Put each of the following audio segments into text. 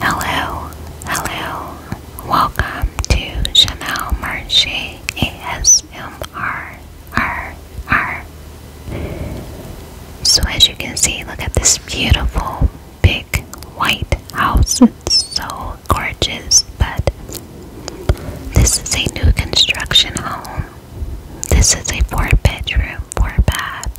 Hello, hello, welcome to Chanel Marche ASMR. So, as you can see, look at this beautiful big white house. It's so gorgeous, but this is a new construction home. This is a four bedroom, four bath,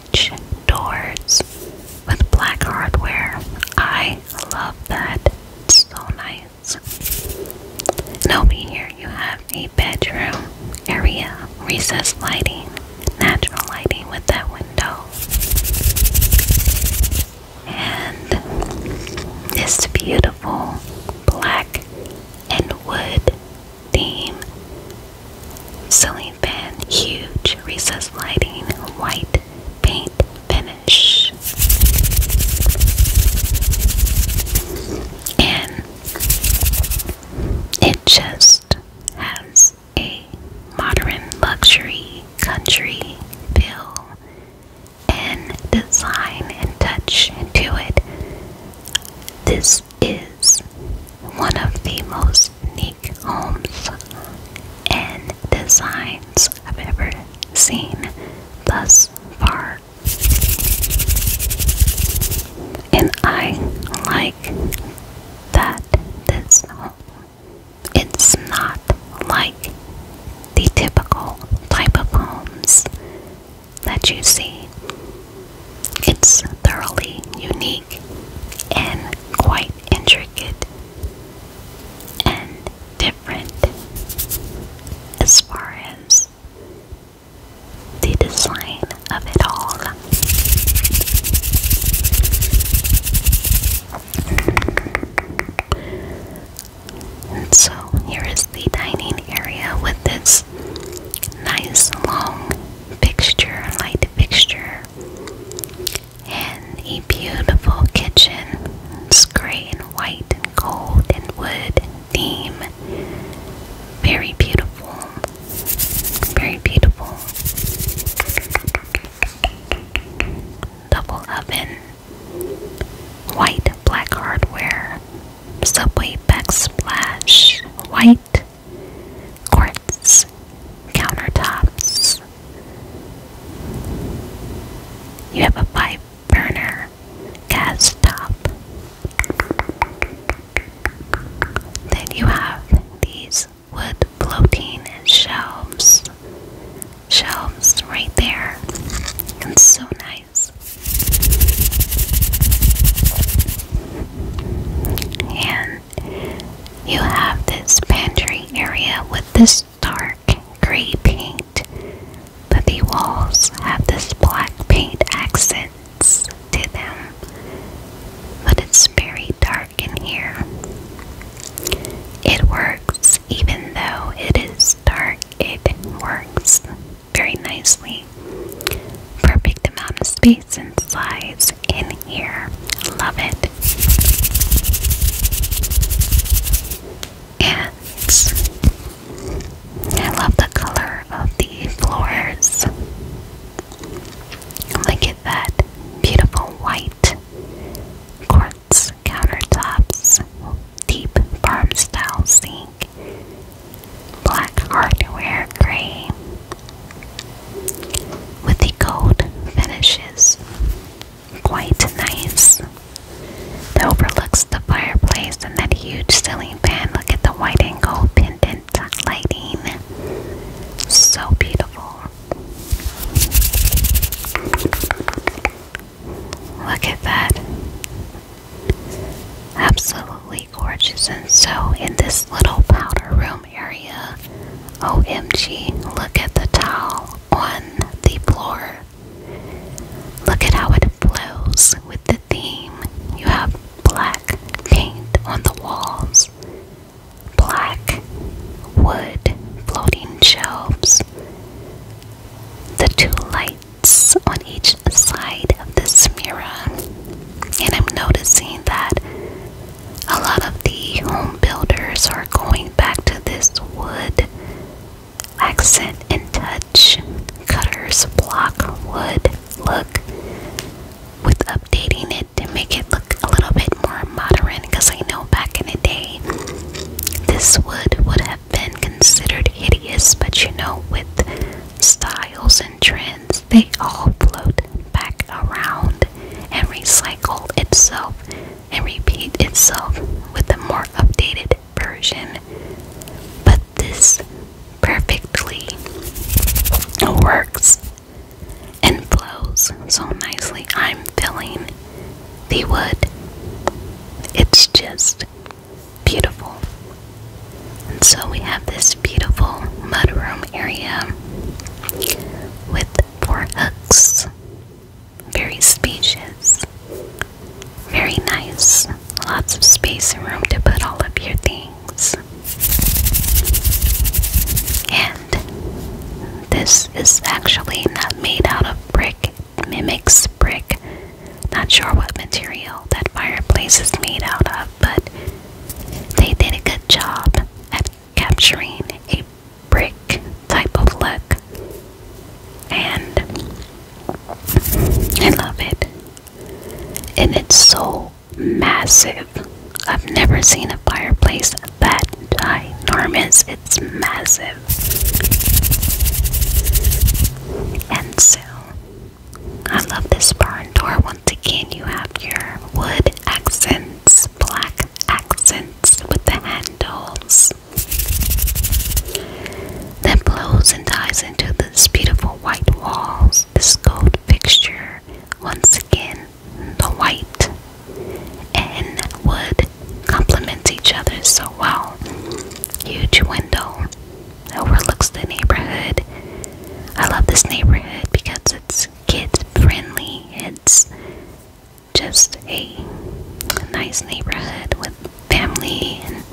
doors with black hardware. I love that. so nice. And here you have a bedroom area, recessed lighting, natural lighting with that window. And this beautiful black and wood theme. Ceiling fan, huge recessed lighting, white paint finish. And it just has a modern luxury country feel and design and touch to it. This is one of the most unique homes and designs I've ever seen thus far. And I like that this home it's not like the typical type of homes that you see. It's thoroughly unique and quite intricate and different as far as the design of it all. so here is the dining area with this nice long fixture, light fixture, and a beautiful kitchen. It's gray and white and gold and wood theme. Very beautiful. Very beautiful. Double oven. White black hardware. Subway backsplash. White quartz countertops. You have a pipe burner gas top. Then you have these wood floating shelves. Shelves right there. It's so nice. And you have this pantry area with this dark gray paint, but the walls have this black paint accents to them. But it's very dark in here. It works even though it is dark, it works very nicely. Perfect amount of space and size in here. Love it. And I love the color of the floors. Look at that beautiful white quartz countertops, deep farm style sink, black hardware gray with the gold finishes. Quite nice. That overlooks the fireplace and that huge ceiling fan. Look at the white and gold pendant lighting. So beautiful. Look at that. Absolutely gorgeous. And so, in this little powder room area, OMG, look at the towel on the floor. Look at how it flows with the theme. You have black paint on the walls, black wood floating shelves, the two lights on each side of this mirror. And I'm noticing that a lot of the home builders are going back to this wood accent and touch cutters block wood look with updating it to make it look a little bit more modern because I know back in the day this wood would have been considered hideous but you know with styles and trends, they all float back around and recycle itself and repeat itself with a more updated version. But this perfectly works and flows so nicely. I'm filling the wood. It's just beautiful. And so we have this beautiful mudroom area with four hooks. Very spacious. Very nice. Lots of space and room to put all of your things. And this is actually not made out of brick. mimics brick. Not sure what material that fireplace is made out of, but they did a good job at capturing a brick type of look. And I love it. And it's so massive. I've never seen a fireplace that ginormous. It's massive. And so I love this barn door. Once again, you have your wood accents, black accents with the handles that blows and ties into these beautiful white walls. This gold fixture, once again, the white and wood complement each other so well. Huge window overlooks the neighborhood. I love this neighborhood because it's kids friendly. It's just a nice neighborhood with family and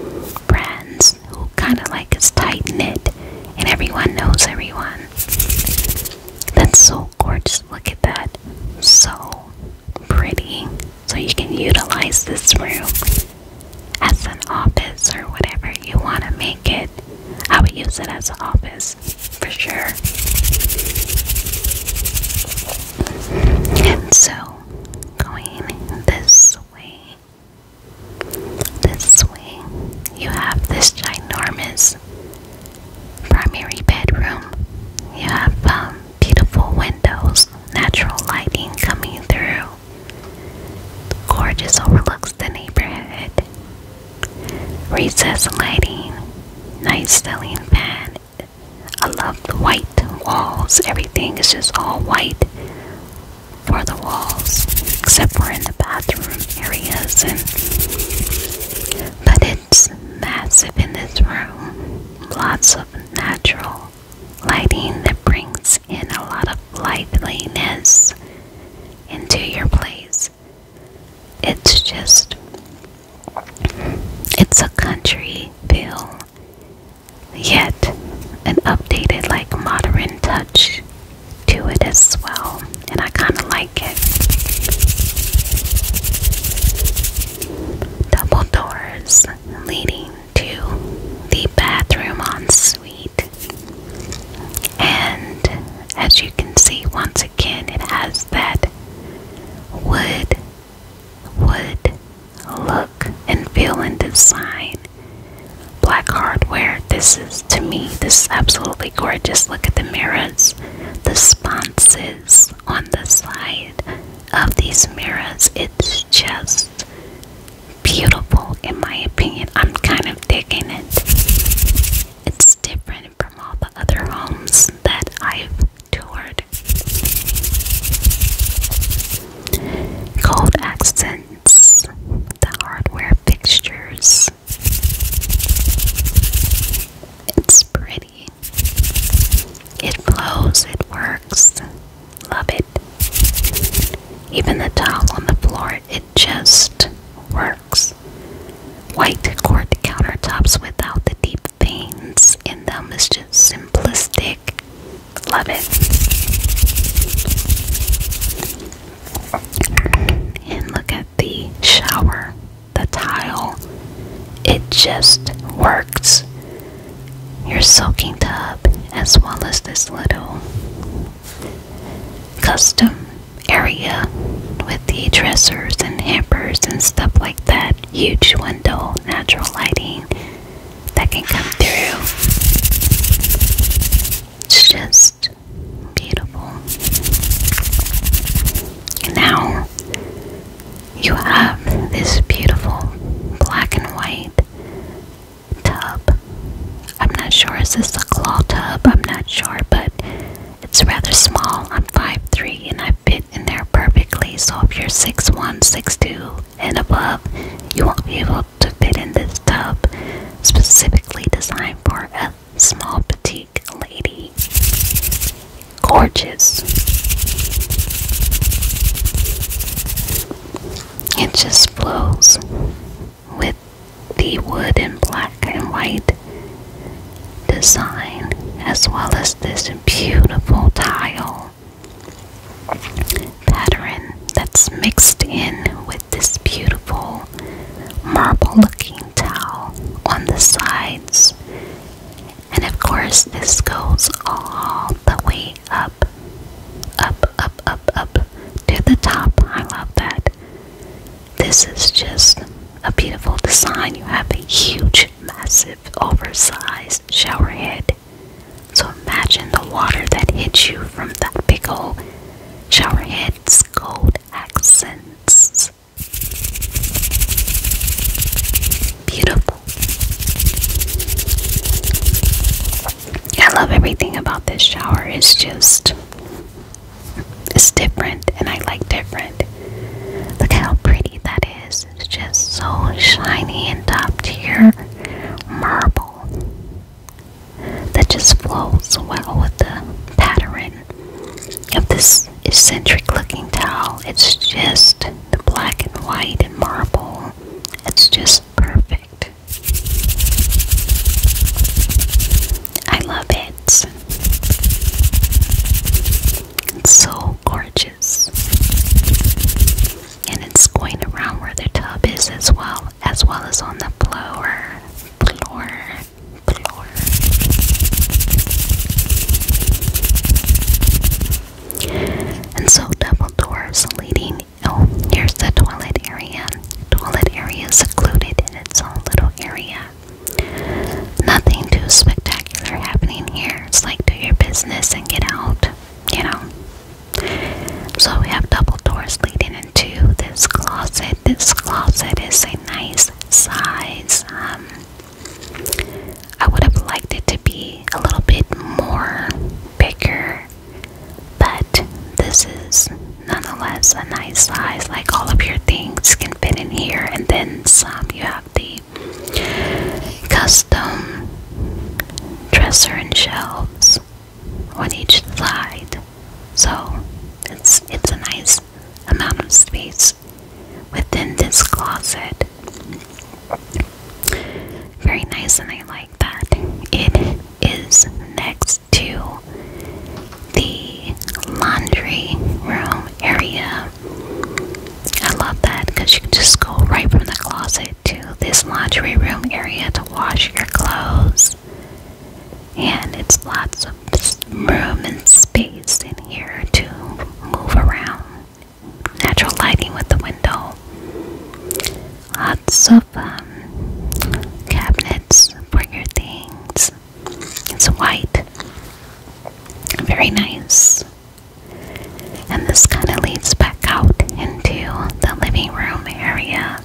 friends who kind of like is tight knit and everyone knows everyone. That's so gorgeous. Look at that. So pretty. So you can utilize this room as an office or whatever you want to make it. I would use it as an office for sure. And so, going this way, this way, you have this ginormous primary bedroom. You have um, beautiful windows, natural lighting coming through. Gorgeous overlooks the neighborhood. Recessed lighting, nice ceiling fan. I love the white walls. Everything is just all white for the walls, except for in the bathroom areas. And but it's massive in this room. Lots of natural Lighting that brings in a lot of liveliness into your place. It's just, it's a country feel, yet an updated, like modern touch to it as well. And I kind of like it. Double doors leading to the bathroom ensuite. And as you can see, once again, it has that wood, wood look and feel and design. Black hardware. This is to me, this is absolutely gorgeous. Look at the mirrors, the sponges on the side of these mirrors. It's just beautiful in my opinion. I'm kind of digging it. It's different from all the other homes that I've toured. Gold accents, the hardware fixtures. It's pretty. It flows, it works. Love it. Even the tile on the floor, it just works. White quart countertops without the deep veins in them is just simplistic. Love it. And look at the shower, the tile. It just works your soaking tub as well as this little custom area with the dressers and hampers and stuff like that. Huge window, natural lighting that can come through. It's just beautiful. now you have this beautiful black and white tub. I'm not sure, is this a claw tub? I'm not sure, but it's rather small. I'm 5'3 and I fit in there perfectly. So if you're 6'1, 6'2 and above, you won't be able to fit in this tub specifically designed for a small petite lady. Gorgeous. It just flows with the wood in black and white design, as well as this beautiful tile pattern that's mixed in with this beautiful marble looking towel on the sides and of course, this goes all the way up, up, up, up, up to the top. I love that. This is just a beautiful design. You have a huge, massive, oversized shower head. So imagine the water that hits you from that big old shower gold accents beautiful. I love everything about this shower. It's just it's different and I like different. Look how pretty that is. It's just so shiny and top tier marble that just flows well with the pattern of this eccentric looking towel. It's just the black and white and marble it's just perfect. I love it. It's so gorgeous. And it's going around where the tub is as well, as well as on the blower. Floor. Floor. And so double doors leading oh here's the toilet area. Toilet area secluded in its own little area. Nothing too spectacular happening here. It's like do your business and get out, you know. So we have double doors leading into this closet. This closet is a nice size. Um, I would have liked it to be a little bit more bigger, but this is nonetheless a nice size. Like all of your things can fit in here, and then some. You have the custom dresser and shelves on each side, so it's it's a nice amount of space within this closet. Very nice, and I like that. It is next to the laundry room area. I love that because you can just go right from the closet to this laundry room area to wash your clothes. And it's lots of room and space in here to move around natural lighting with the window. Lots of um, cabinets for your things. It's white. Very nice. And this kind of leads back out into the living room area.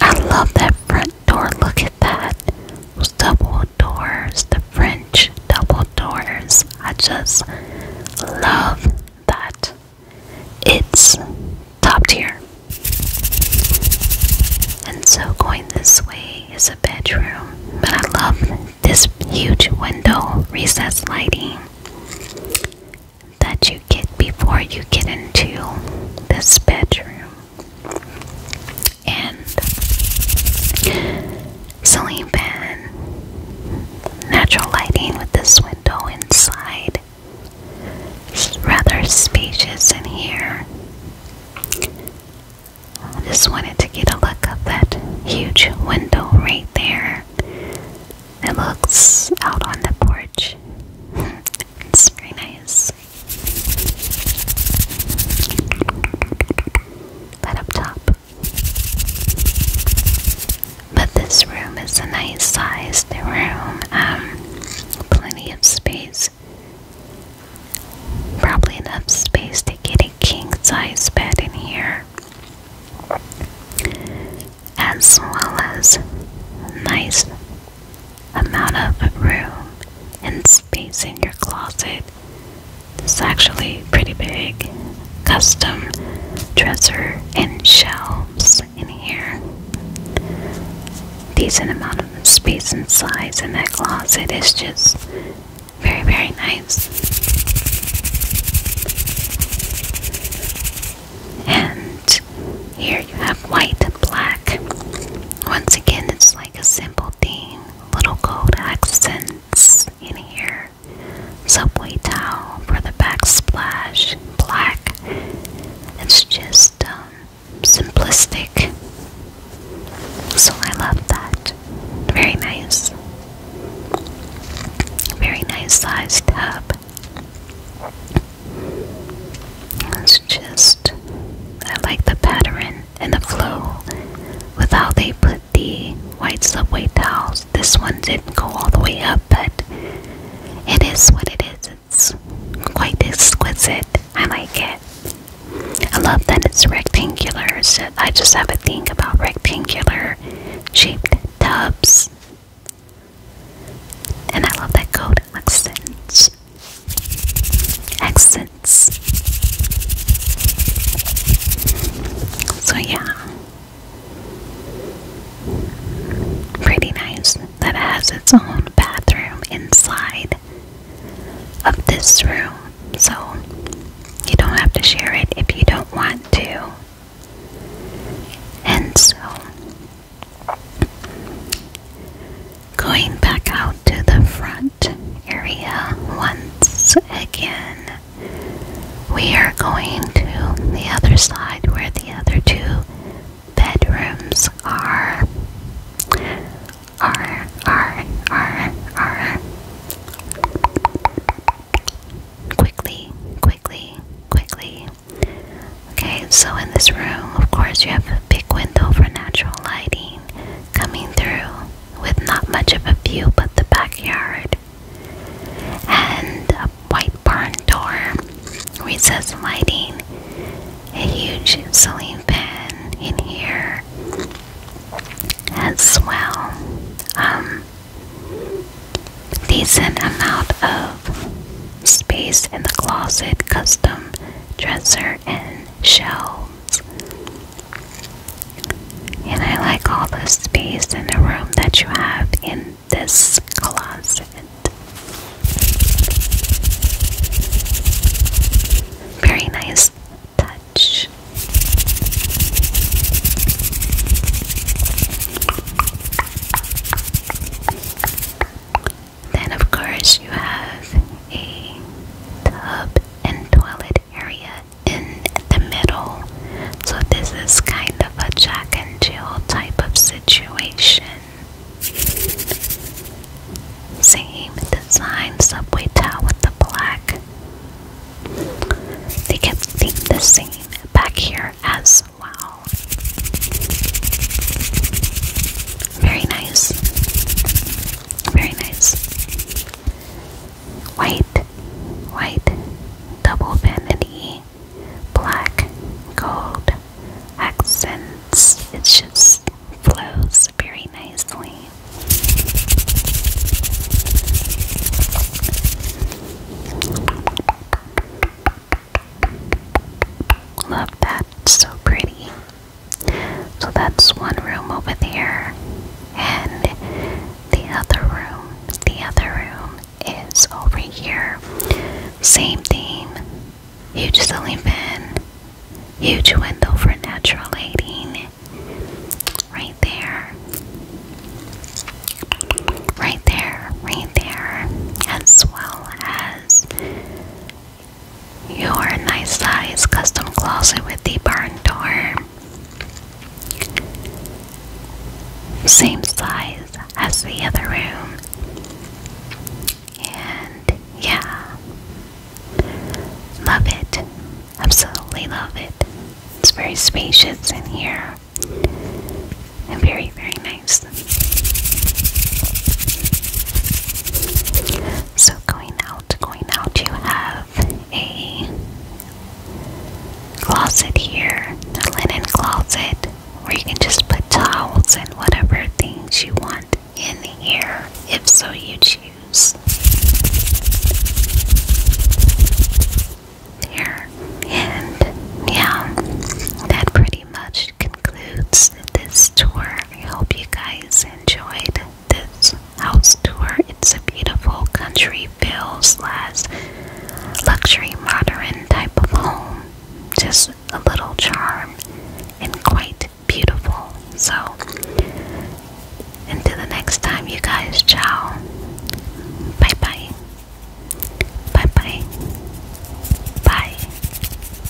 I love that front door. Look at that. Those double doors, the French double outdoors. I just love that. It's top tier. And so, going this way is a bedroom, but I love this huge window recess lighting that you get before you get into this bedroom. And ceiling fan, natural lighting with this window inside. It's rather spacious in here. I just wanted to get a look of that huge window right there. It looks out on the porch. it's very nice. But up top, but this room is a nice sized room, um, plenty of space. Probably enough space to get a king size bed in here, as well as nice amount of room and space in your closet. It's actually pretty big. Custom dresser and shelves in here. Decent amount of space and size in that closet is just very, very nice. And here you have white and black. Once again, it's like a simple theme, little gold accent in here. Subway towel for the backsplash, black. It's just um, simplistic. So I love that. Very nice. Very nice sized tub. It's just, I like the pattern and the flow with how they put the white subway towels. This one didn't go all the way up, but it is what it is. It's quite exquisite. I like it. I love that it's rectangular. I just have a thing about rectangular shaped tubs. And I love that coat accents. Accent so, yeah. Pretty nice that has its own bathroom inside of this room. So, you don't have to share it if you don't want to. And so, going back out to the front area once again. We are going to the other side where the other two bedrooms are. Are, are, are, are. Quickly, quickly, quickly. Okay, so in this room, of course, you have a big window for natural lighting coming through with not much of a view but the backyard, and a white barn door, recessed lighting, a huge ceiling fan in here as well. Um, decent amount of space in the closet, custom dresser, and in shelves. And I like all the space in the room that you have in this closet. Very nice touch. Then, of course, you have a tub and toilet area in the middle. So, this is kind of a jack and jill type of situation. Same design subway towel with the black. They kept the same back here as well. Very nice. Very nice. White, white, double vanity, black, gold, accents. It just flows very nicely. Love that, so pretty. So that's one room over there. And the other room, the other room is over here. Same theme. Huge ceiling fan. Huge window for natural lighting. Right there. Right there, right there. As well as your nice size custom closet with the barn door. Same size as the other room. And yeah. Love it. Absolutely love it. It's very spacious in here. And very, very nice. So going out, going out, you have a closet here, a linen closet, where you can just put towels and whatever things you want in here, if so you choose. There. And yeah, that pretty much concludes this tour. I hope you guys enjoyed this house tour. It's a beautiful country feel slash luxury modern type of home. Just a little charm and quite beautiful. So until the next time you guys ciao. Bye bye. Bye bye. Bye.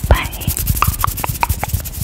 Bye.